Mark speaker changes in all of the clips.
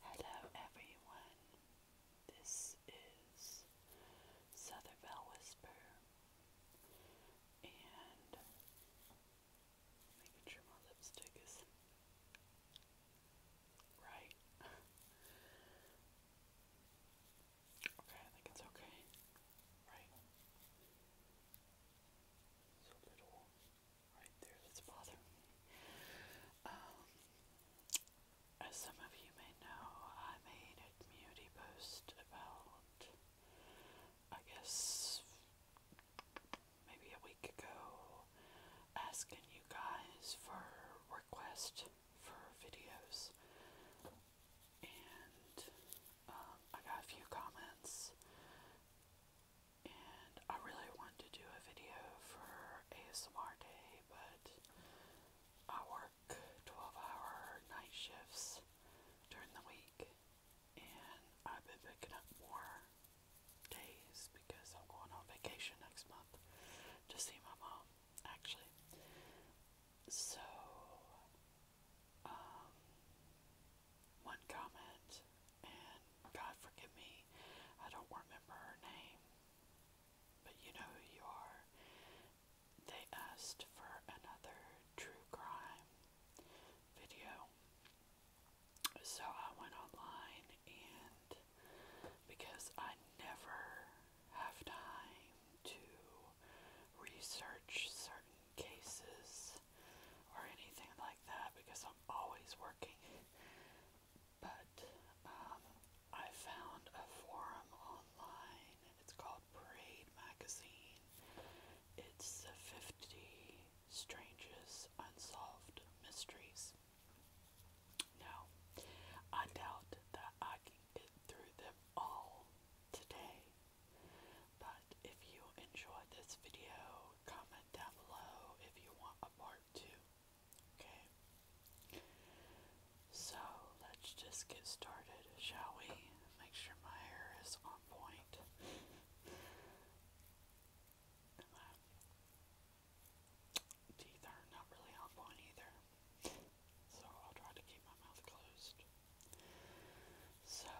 Speaker 1: Hello everyone, this is Southern Southerville Whisper, and making sure my lipstick is right. okay, I think it's okay, right? It's little um, as some of you may know, I made a community post about, I guess, maybe a week ago, asking you guys for requests for videos. And um, I got a few comments and I really wanted to do a video for ASMR Day, but I work 12 hour night shifts during the week, and I've been picking up more days because I'm going on vacation next month to see my mom, actually. So, um, one comment and God forgive me, I don't remember her name, but you know who you are. They asked for another true crime video. So I went online and because I never have time to research certain cases or anything like that because I'm always working. But um, I found a forum online. It's called Parade Magazine. It's the 50 strangest unsolved mysteries. Now, I doubt that I can get through them all today. But if you enjoyed this video, comment down below if you want a part two. Okay. So let's just get started, shall we? Make sure my hair is on point. my teeth are not really on point either. So I'll try to keep my mouth closed. So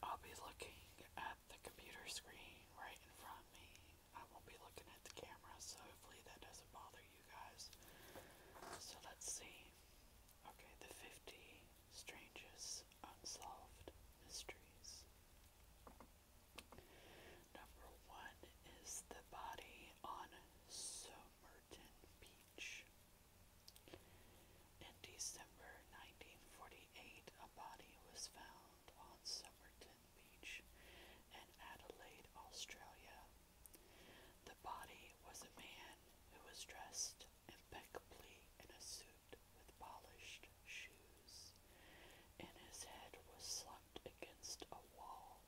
Speaker 1: I'll be looking at the computer screen right in front of me. I won't be looking at the camera, so hopefully that doesn't bother you guys. So let's see. Okay, the 50 strangest unsolved mysteries. Number one is the body on Somerton Beach. In December 1948, a body was found filmed on Beach in Adelaide, Australia. The body was a man who was dressed impeccably in a suit with polished shoes, and his head was slumped against a wall.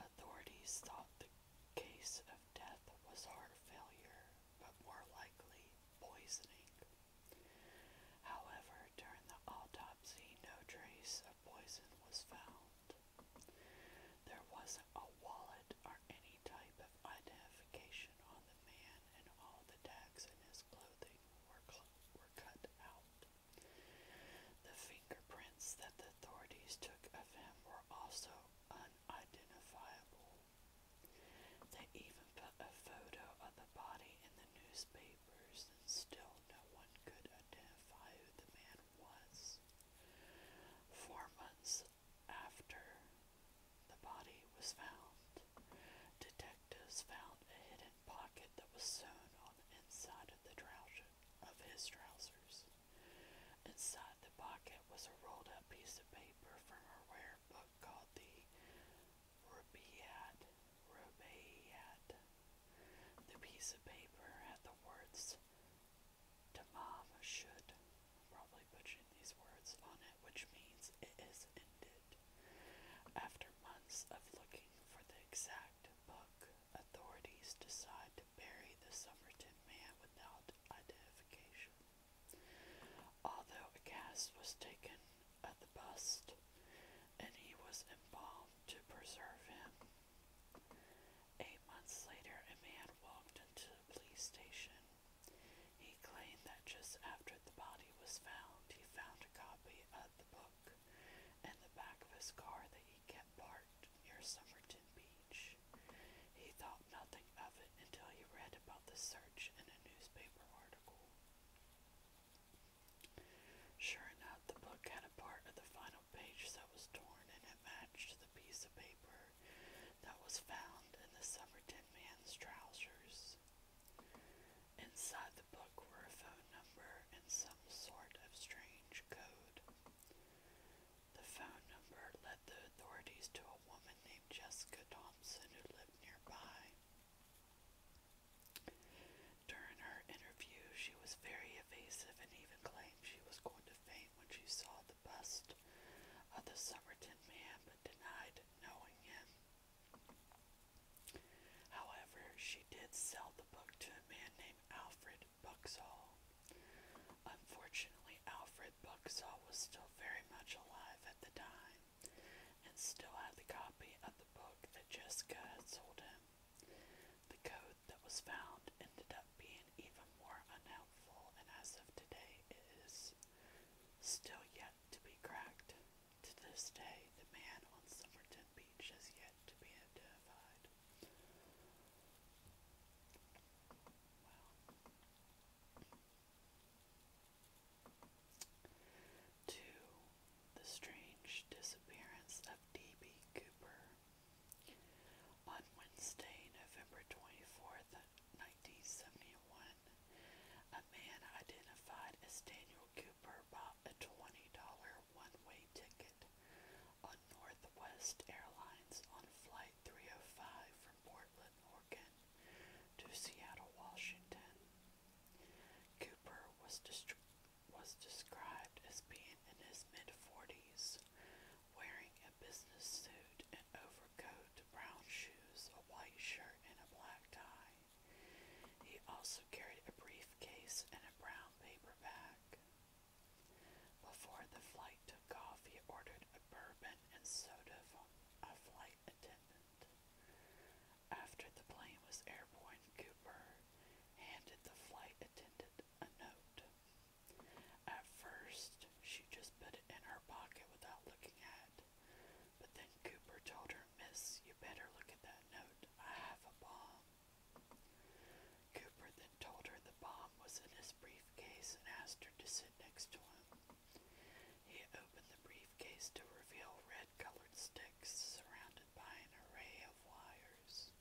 Speaker 1: Authorities thought the case of death was heart failure, but more likely poisoning. However, during the autopsy, no trace of poison was found. There wasn't a wallet or any type of identification on the man, and all the tags in his clothing were, were cut out. The fingerprints that the authorities took of him were also unidentifiable. They even put a photo of the body in the newspaper and still no one could identify who the man was. Four months after the body was found, detectives found a hidden pocket that was sewn on the inside of the trousers. Inside the pocket was a rolled up piece of paper from a rare book called the Rubaiyat, Rubaiyat. The piece of paper had the words Tamam should. Probably butchering these words on it, which means it is ended. After months of looking for the exact book, authorities decide to bury the Somerton man without identification. Although a cast was taken at the bust, and he was embalmed to preserve him. Eight months later, a man walked into the police station. He claimed that just after the body was found, he found a copy of the book in the back of his car that he kept parked near Somerton Beach. He thought nothing of it until he read about the search in a newspaper article. Sure enough, the book had a part of the final page that was torn, and it matched the piece of paper that was found in the Somerton man's trousers. Inside the book were a phone number and some sort of strange code. The phone number led the authorities to a woman named Jessica Thompson who lived nearby. During her interview, she was very evasive and even claimed she was going to faint when she saw the bust of the Somerton man, but denied knowing him. However, she did sell the book to a man named Alfred Buxall. Unfortunately, Alfred Buxall was still very much alive at the time and still had the copy of the book that Jessica had sold him. The code that was found ended up being even more unhelpful, and as of today, it is still yet to be cracked. To this day, the man on Somerton Beach has yet to be identified. Wow. 2. The Strange Disappearance of D.B. Cooper. On Wednesday, November 24th, 1971, a man identified as Daniel Cooper bought a $20 one-way ticket on Northwest Airlines on Flight 305 from Portland, Oregon to Seattle, Washington. Cooper was, was described as being in his mid 40s, wearing a business suit, an overcoat, brown shoes, a white shirt, and a black tie. He also carried a briefcase and a brown paper bag. Before the flight took off, he ordered a bourbon and soda from a flight attendant. After the plane was airborne, Cooper handed the flight attendant a note. At first, she just put it in her pocket without looking at it, but then Cooper told her, Miss, you better look at that note. I have a bomb. Cooper then told her the bomb was in his briefcase and asked her to sit next to him. He opened the briefcase to reveal red colored sticks surrounded by an array of wires.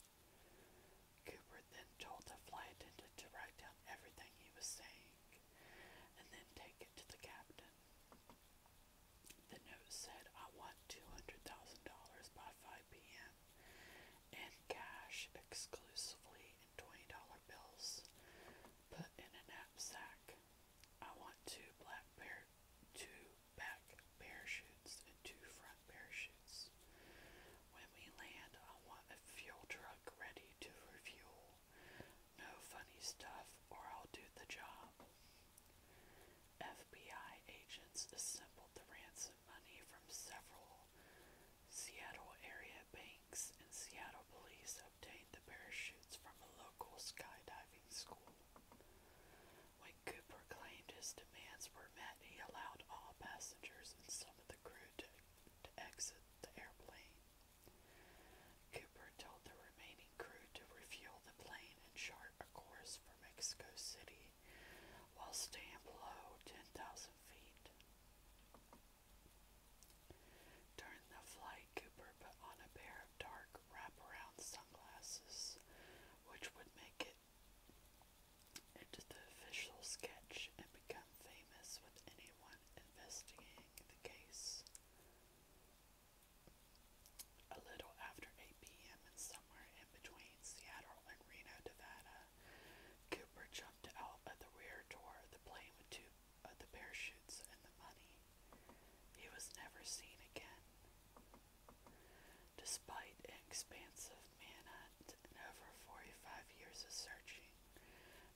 Speaker 1: Cooper then told the flight attendant to write down everything he was saying and then take it to the captain. The note said, I want $200,000 by 5 p.m. and cash exclusively in $20 bills put in a knapsack. I want two black bears." two back parachutes and two front parachutes. When we land, I want a fuel truck ready to refuel. No funny stuff, or I'll do the job. FBI agents assembled the ransom money from several Seattle area banks, and Seattle police obtained the parachutes from a local skydiving school. When Cooper claimed his demands were met, he allowed all passengers and some of the crew to, to exit the airplane. Cooper told the remaining crew to refuel the plane and chart a course for Mexico City while staying below 10,000 feet. During the flight, Cooper put on a pair of dark wraparound sunglasses, which would make it into the official sketch and become famous with anyone investigating the case. A little after 8 p.m. and somewhere in between Seattle and Reno, Nevada, Cooper jumped out of the rear door the plane with two of the parachutes and the money. He was never seen again. Despite an expansive manhunt and over 45 years of searching,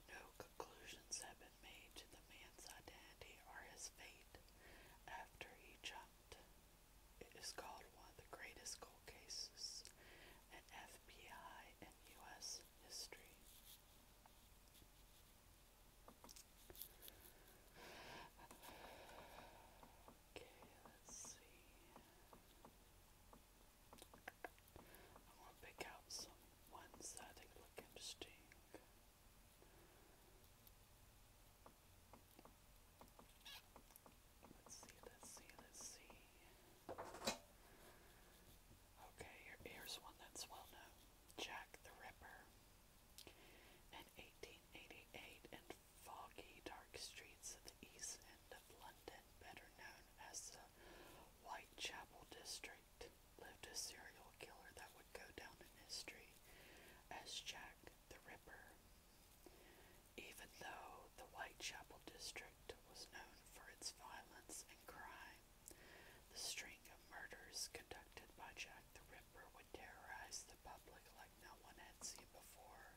Speaker 1: no conclusions have been made to the man's identity or his fate after he jumped. It is called one of the greatest cold cases in FBI and U.S. history. Okay, let's see. I want to pick out some ones that look interesting. Let's see, let's see, let's see. Okay, here's one that's well known Jack the Ripper. In 1888, in foggy, dark streets of the east end of London, better known as the Whitechapel district, lived a serial killer that would go down in history as Jack the Ripper. Even though the Whitechapel district was known for its violence and crime, the string of murders conducted by Jack the Ripper would terrorize the public like no one had seen before.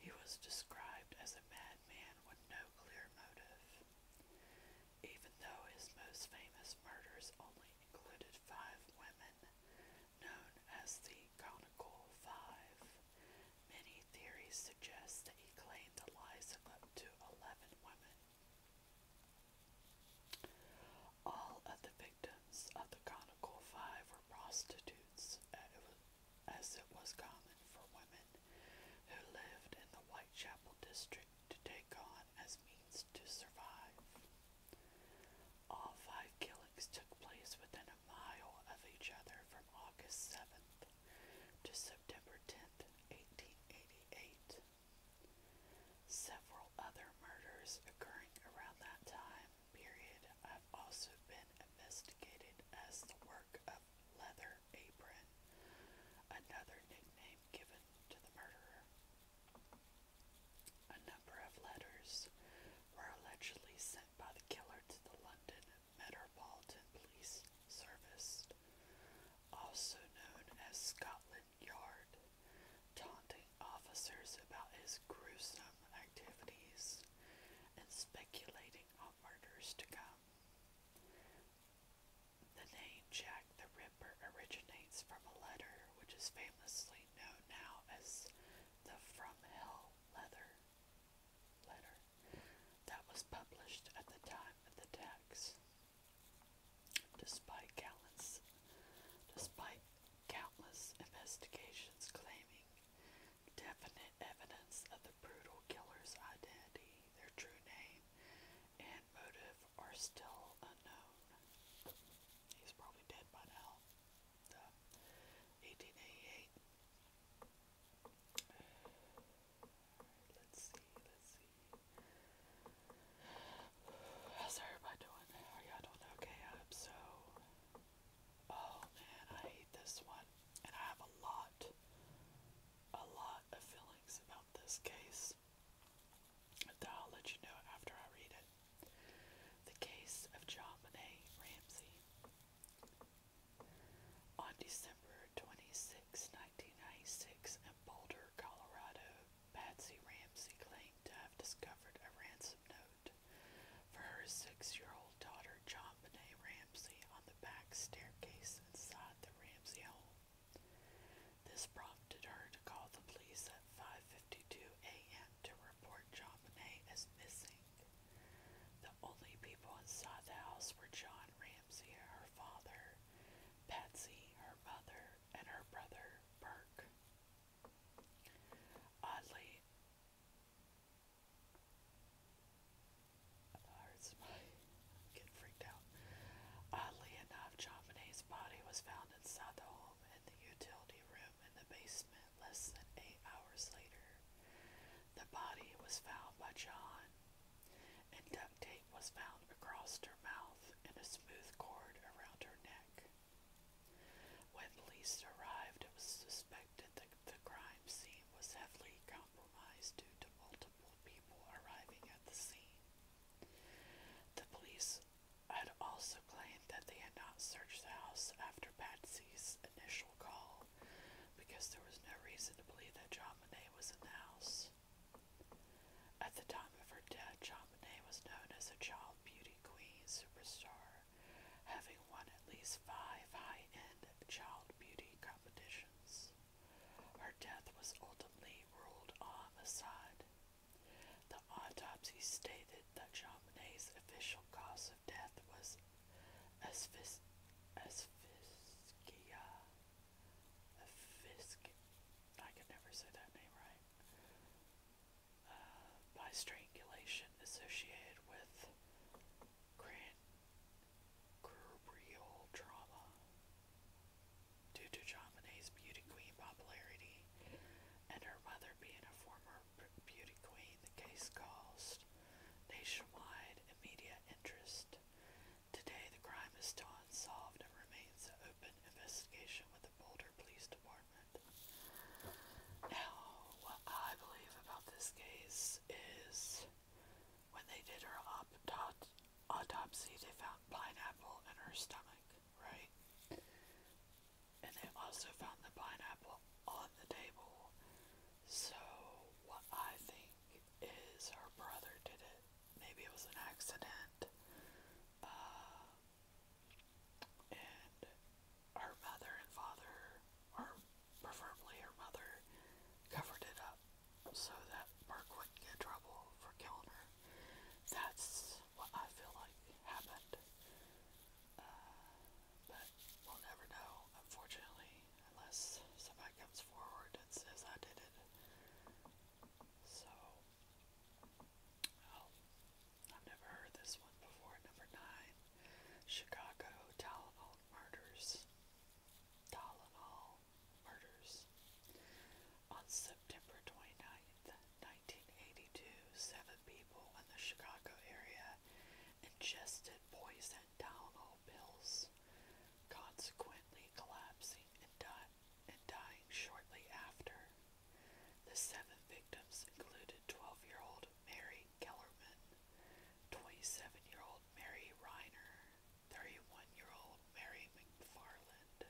Speaker 1: He was described as a madman with no clear motive. Even though his most famous murders only included five women, known as the Conical Five, many theories suggest that he claimed the lives of up to 11 women. All of the victims of the Chronicle Five were prostitutes, as it was common for women who lived in the Whitechapel district to take on as means to survive. All five killings took place within a mile of each other from August 7th to September 10th, 1888. Several other murders occurring around that time period have also been investigated as the work of Leather Apron, another nickname given to the murderer. A number of letters were allegedly sent by the killer to the London Metropolitan Police Service, also known as Scotland Yard, taunting officers about his gruesome activities and speculating on murders to come. The name Jack the Ripper originates from a letter which is famously known now as the From Hell Leather letter that was published at the time of the text. Despite countless, despite countless investigations claiming definite evidence of the brutal killer's identity, their true name, and motive are still unknown. He's probably dead by now. 1888. right, let's see, let's see. How's everybody doing? Are y'all doing okay? I'm so. Oh man, I hate this one. And I have a lot, a lot of feelings about this case But I'll let you know after I read it. The case of John Bonet Ramsey. On December 26, 1996 in Boulder, Colorado, Patsy Ramsey claimed to have discovered a ransom note for her six year old daughter, John Benet Ramsey, on the back staircase inside the Ramsey home. This prompted her to call the police at 5:52 a.m. to report John Benet as missing. The only people inside the house were John Ramsey, her father, Patsy, her mother, and her brother Burke. Oddly, get freaked out. Oddly enough, John's body was found inside the home in the utility room in the basement less than eight hours later. The body was found by John and duct taped ring was found across her mouth and a smooth cord around her neck. When police arrived, it was suspected that the crime scene was heavily compromised due to multiple people arriving at the scene. The police had also claimed that they had not searched the house after Patsy's initial call because there was no reason to believe that John Monet was in the house. At the time of her death, Chaminade was known as a child beauty queen superstar, having won at least five high end child beauty competitions. Her death was ultimately ruled a homicide. The autopsy stated that Chaminade's official cause of death was asphyxia. Asphyxia Fisk. I could never say that name right. Uh, by strangulation associated with grand Cubrial trauma. Due to Chamonix's beauty queen popularity and her mother being a former beauty queen, the case caused nationwide media interest Today, the crime is still unsolved and remains an open investigation with the Boulder Police Department. Now, what I believe about this case is when they did her auto autopsy, they found pineapple in her stomach, right? And they also found the pineapple on the table. So, what I think is her brother did it maybe it was an accident. Uh, and her mother and father, or preferably her mother, covered it up so that Burke wouldn't get trouble for killing her. That's what I feel like happened. Uh, but we'll never know, unfortunately, unless somebody comes forward and says I did it. So, Oh, I've never heard this one before. Number nine, Chicago Tylenol murders. Tylenol murders. On September 29th, 1982, seven people in the Chicago area ingested poison Tylenol pills, consequently collapsing and dying and dying shortly after. The seven victims included 12 year old Mary Kellerman, 27 year old Mary Reiner, 31 year old Mary McFarland,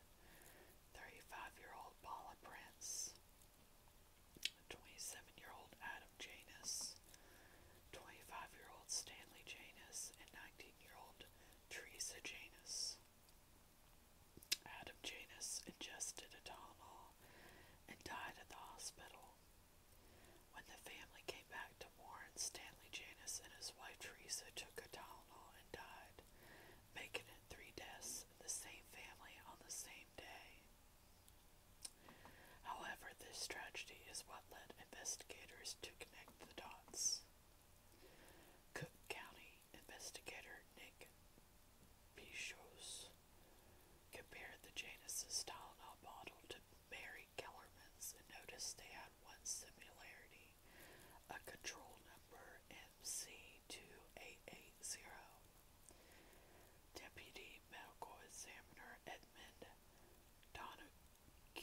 Speaker 1: 35 year old Paula Prince, 27 year old Adam Janus, 25 year old Stanley Janus, and 19 year old Teresa Janus. Adam Janus ingested a Tylenol and died at the hospital. When the family came back to Warren, Stanley Janus and his wife Teresa took a Tylenol and died, making it three deaths in the same family on the same day. However, this tragedy is what led investigators to connect the dots. Cook County investigator Nick Pichos compared the Janice's Tylenol bottle to Mary Kellerman's and noticed they had one similarity, a control number MC2880. Deputy Medical Examiner Edmund Donoghue Q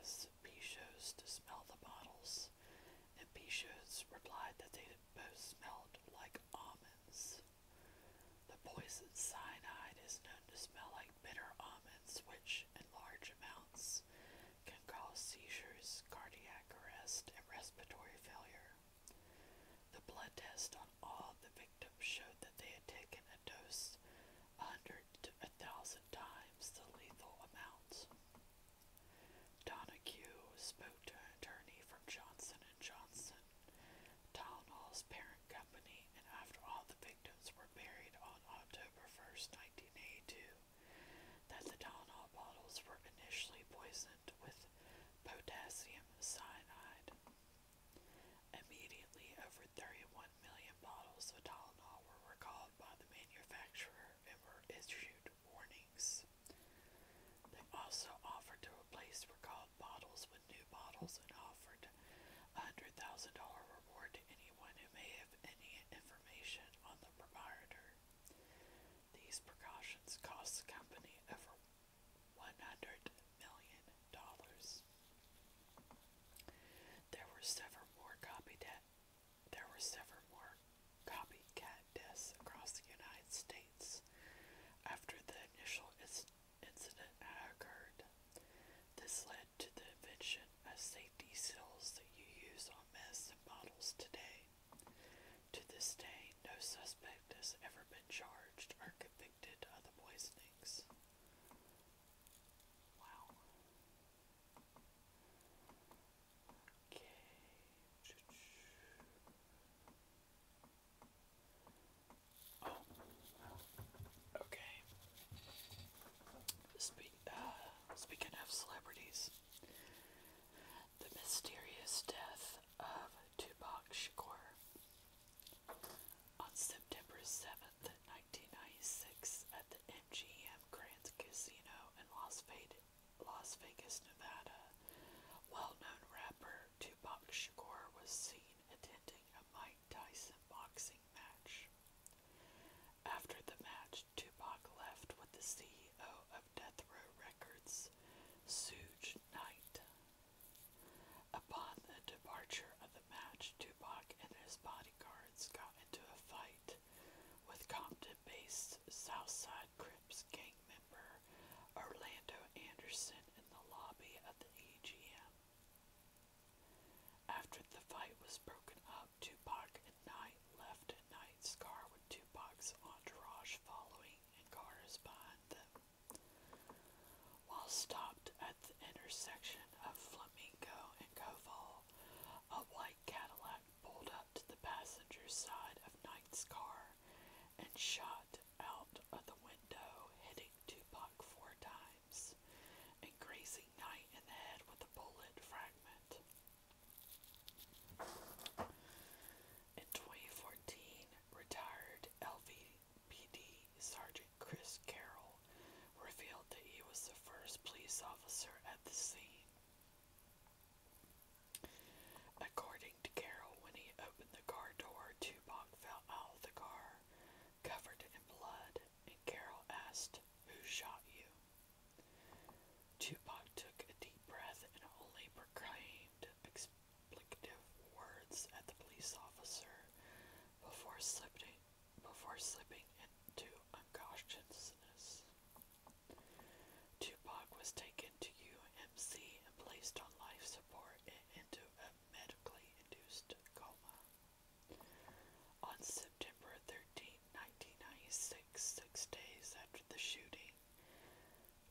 Speaker 1: asked Pichos to smell the bottles, and Pichos replied that they both smelled like almonds. The poison cyanide is known to smell like bitter almonds, which, in large amounts, can cause seizures, cardiac arrest, and respiratory failure. The blood test on all the victims showed that they had taken a dose Hundred hundred to a thousand times the lethal amount. Donahue spoke to an attorney from Johnson and Johnson, Tylenol's parent company, and after all the victims were buried on October 1st, 1982, that the Tylenol bottles were initially poisoned with potassium cyanide. Immediately over 31 million bottles of Tylenol were recalled by the manufacturer and were issued warnings. They also offered to replace recalled bottles with new bottles and offered a $100,000 reward to anyone who may have any information on the proprietor. These precautions cost the company over $100 million. There were several more copycat there were several more copycat deaths across the United States after the initial incident occurred. This led to the invention of safety seals that you use on medicine bottles today. To this day, no suspect has ever been charged or convicted of the poisonings. Wow. Okay. Oh. Okay. Uh, speaking of celebrities, the mysterious death of Tupac Shakur on September 7th, 1996 at the MGM Grand Casino in Las Vegas, Nevada. Well-known rapper Tupac Shakur was seen attending a Mike Tyson boxing match. After the match, Tupac left with the CEO of Death Row Records, Suge Knight. Upon the departure of the match, Tupac and his bodyguards got into a fight with Compton based Southside Crips gang member Orlando Anderson in the lobby of the EGM. After the fight was broken up, Tupac and Knight left at Knight's car with Tupac's entourage following in cars behind them. While stopped at the intersection of Flamingo and Koval, a white Cadillac pulled up to the passenger side of Knight's car and shot out of the window, hitting Tupac four times and grazing Knight in the head with a bullet fragment. In 2014, retired LVPD Sergeant Chris Carroll revealed that he was the first police officer at the scene. According to Carroll, when he opened the car door, Tupac fell out of the car, covered in blood, and Carroll asked, Who shot you? Tupac took a deep breath and only proclaimed explicative words at the police officer before slipping before slipping into unconsciousness. Tupac was taken to UMC and placed on life support and into a medically induced coma. On September 13, 1996, six days after the shooting,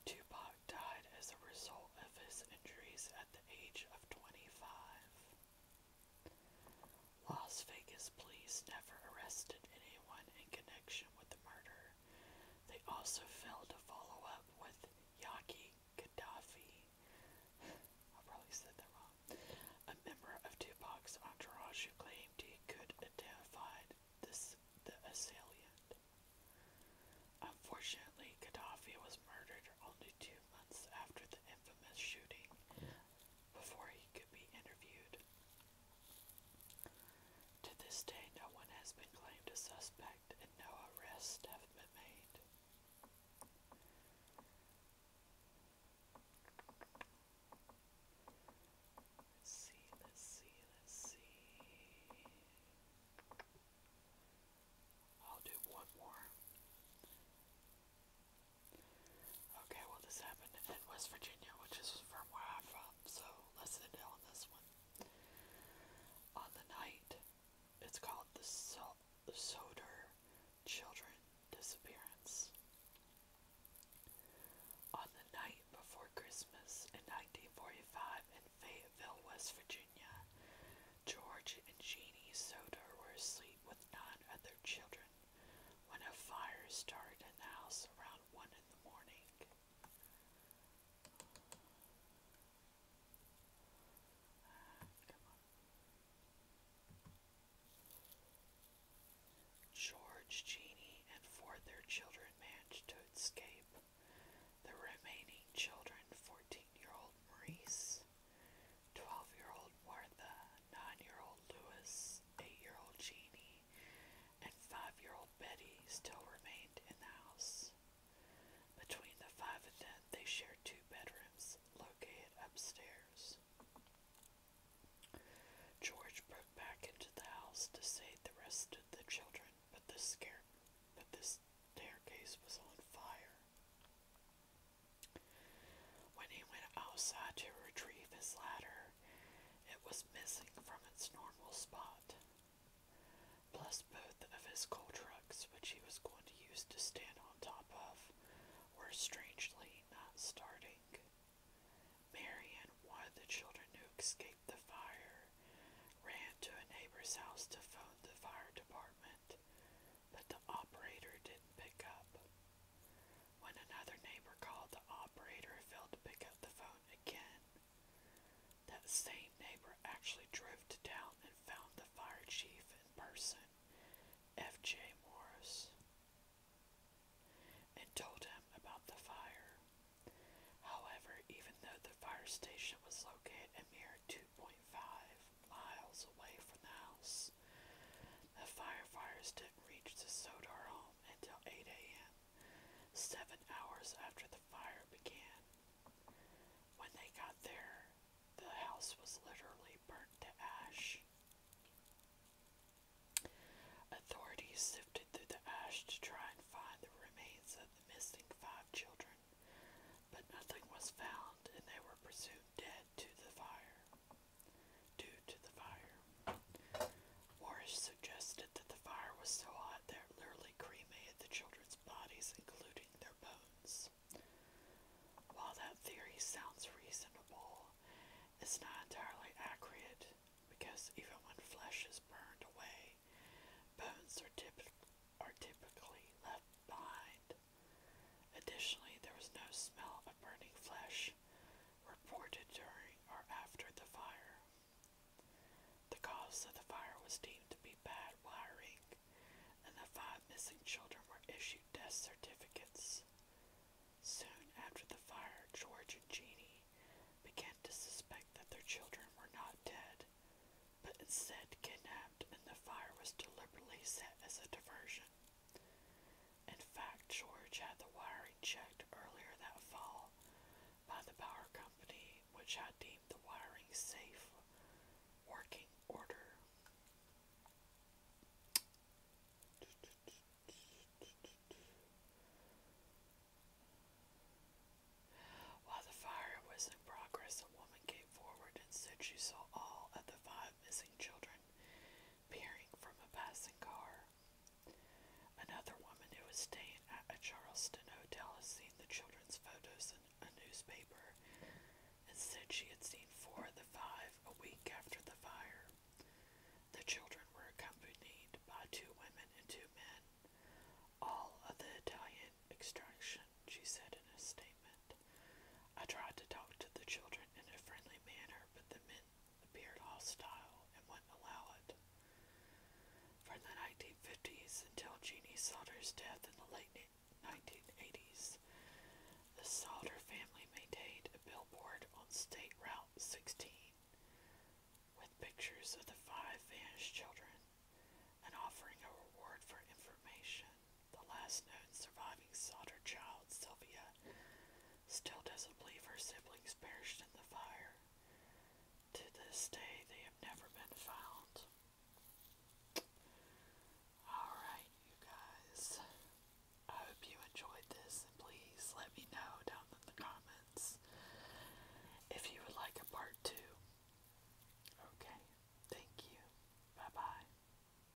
Speaker 1: Tupac died as a result of his injuries at the age of 25. Las Vegas police never arrested anyone in connection with the murder. They also failed to follow up with Yaki Gaddafi. I probably said that wrong. A member of Tupac's entourage who claimed he could identify this the assailant. Unfortunately, Gaddafi was murdered only two months after the infamous shooting before he could be interviewed. To this day, no one has been claimed a suspect and no arrests have been made. Let's see, let's see, let's see. I'll do one more. Okay, well this happened in West Virginia, which is from where I'm from, so let's sit down this one. On the night, it's called the Soder Children Disappearance. On the night before Christmas in 1945 in Fayetteville, West Virginia, George and Jeannie Soder were asleep with nine other children when a fire started in the house around one in the morning. George, Jeannie, and four of their children managed to escape. The remaining children, 14 year old Maurice, 12 year old Martha, nine-year-old Lewis, eight-year-old Jeannie, and five-year-old Betty still remained in the house. Between the five of them, they shared two bedrooms located upstairs. George broke back into the house to save the rest of the children, but the, scare, but the staircase was on fire. When he went outside to retrieve his ladder, it was missing from its normal spot, plus both of his coal trucks, which he was going to use to stand on top of, were strangely not starting. Marion, one of the children who escaped the fire, ran to a neighbor's house to phone the fire department, that the operator didn't pick up. When another neighbor called, the operator failed to pick up the phone again. That same neighbor actually drove to town and found the fire chief in person, F.J. Morris, and told him about the fire. However, even though the fire station was located a mere 2.5 miles away from the house. The firefighters didn't reach the Sodar home until 8 a.m., seven hours after the fire began. When they got there, the house was literally burnt to ash. Authorities sifted through the ash to try and find the remains of the missing five children, but nothing was found and they were presumed dead to the fire due to the fire. Warrish suggested that the fire was so hot that it literally cremated the children's bodies, including their bones. While that theory sounds reasonable, it's not entirely accurate because even when flesh is burned away, bones are, typ are typically left behind. Additionally, there was no smell of burning flesh reported during or after the fire. The cause of the fire was deemed to be bad wiring, and the five missing children were issued death certificates. Soon after the fire, George and Jeannie began to suspect that their children were not dead, but instead kidnapped, and the fire was deliberately set as a diversion. In fact, George had the wiring checked earlier that fall by the power company, which had deemed the wiring safe working order. While the fire was in progress, a woman came forward and said she saw all of the five missing children peering from a passing car. Another woman who was staying at a Charleston hotel has seen the children's photos in a newspaper and said she had seen four of the five a week after the fire. The children were accompanied by two women and two men, all of the Italian extraction, she said in a statement. I tried to talk to the children in a friendly manner, but the men appeared hostile and wouldn't allow it. From the 1950s until Jeannie Sauter's death in the late 1980s, the Sauter family maintained a billboard on State Route 16 with pictures of the five vanished children and offering a reward for information the last known surviving solder child, Sylvia, still doesn't believe her siblings perished in the fire. To this day, they have never been found. Alright, you guys. I hope you enjoyed this, please let me know down in the comments if you would like a part two. Okay, thank you. Bye bye.